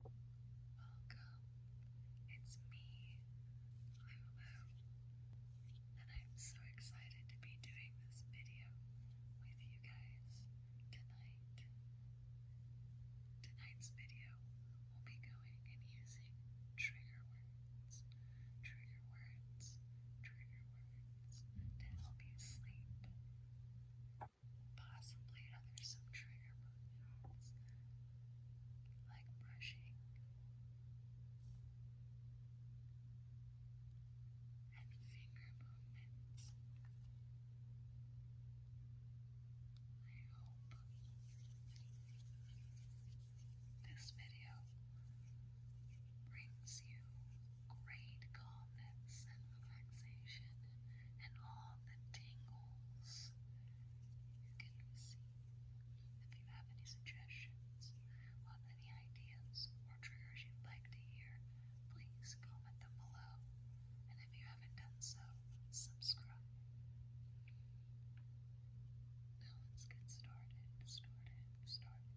Welcome, it's me. I'm Lou, and I'm so excited to be doing this video with you guys tonight. Tonight's video will be going and using trigger words, trigger words, trigger words to help you sleep possibly other some trigger movements like brushing and finger movements. I hope this video brings you great calmness and relaxation and all the tingles you can receive. If you have any suggestions on any ideas or triggers you'd like to hear, please comment them below. And if you haven't done so, subscribe. Now let's get started, started, started,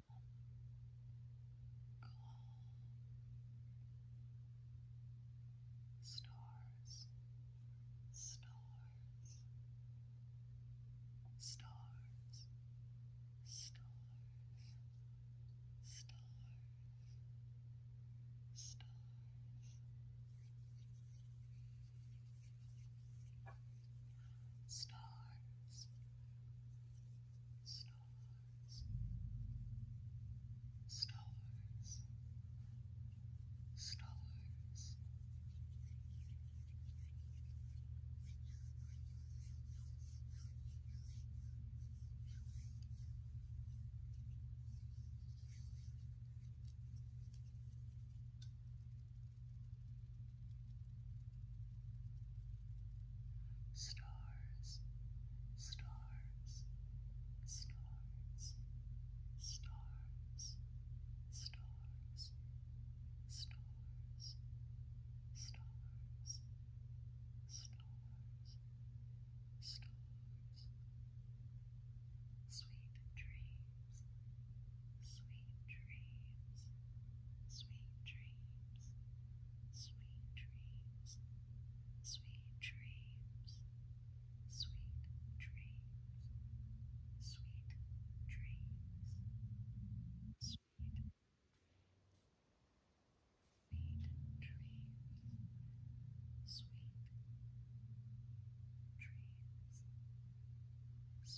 Stars, stars, stars, stars, stars, stars stars, stars, stars, stars. Stars, stars, stars, stars, stars, stars, stars, stars, stars. Sweet dreams, sweet dreams, sweet dreams, sweet dreams, sweet dreams, sweet dreams, sweet dreams, sweet. Sweet dreams, sweet dreams, sweet dreams, sweet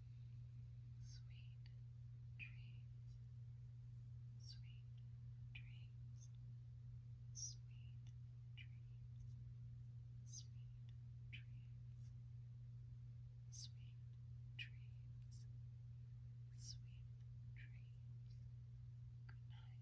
Sweet dreams, sweet dreams, sweet dreams, sweet dreams, sweet dreams, sweet dreams. Good night. Good night.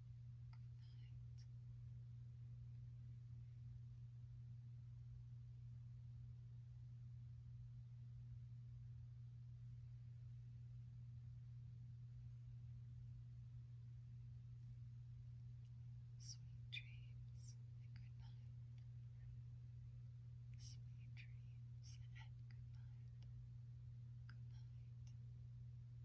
Sweet dreams and good night. Sweet dreams and good night. Good night.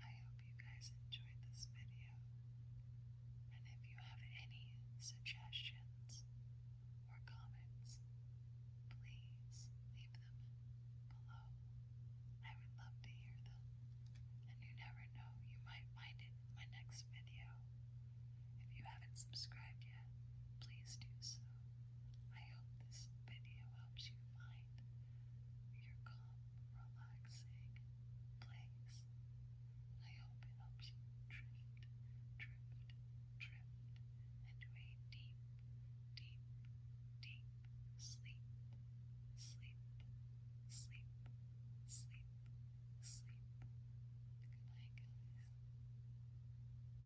I hope you guys enjoyed this video, and if you have any suggestions or comments, please leave them below. I would love to hear them, and you never know, you might find it in my next video. If you haven't subscribed yet, please do so. I hope this video helps you find your calm, relaxing place. I hope it helps you drift, drift, drift into a deep, deep, deep sleep. Sleep, sleep, sleep, sleep. Good night, guys.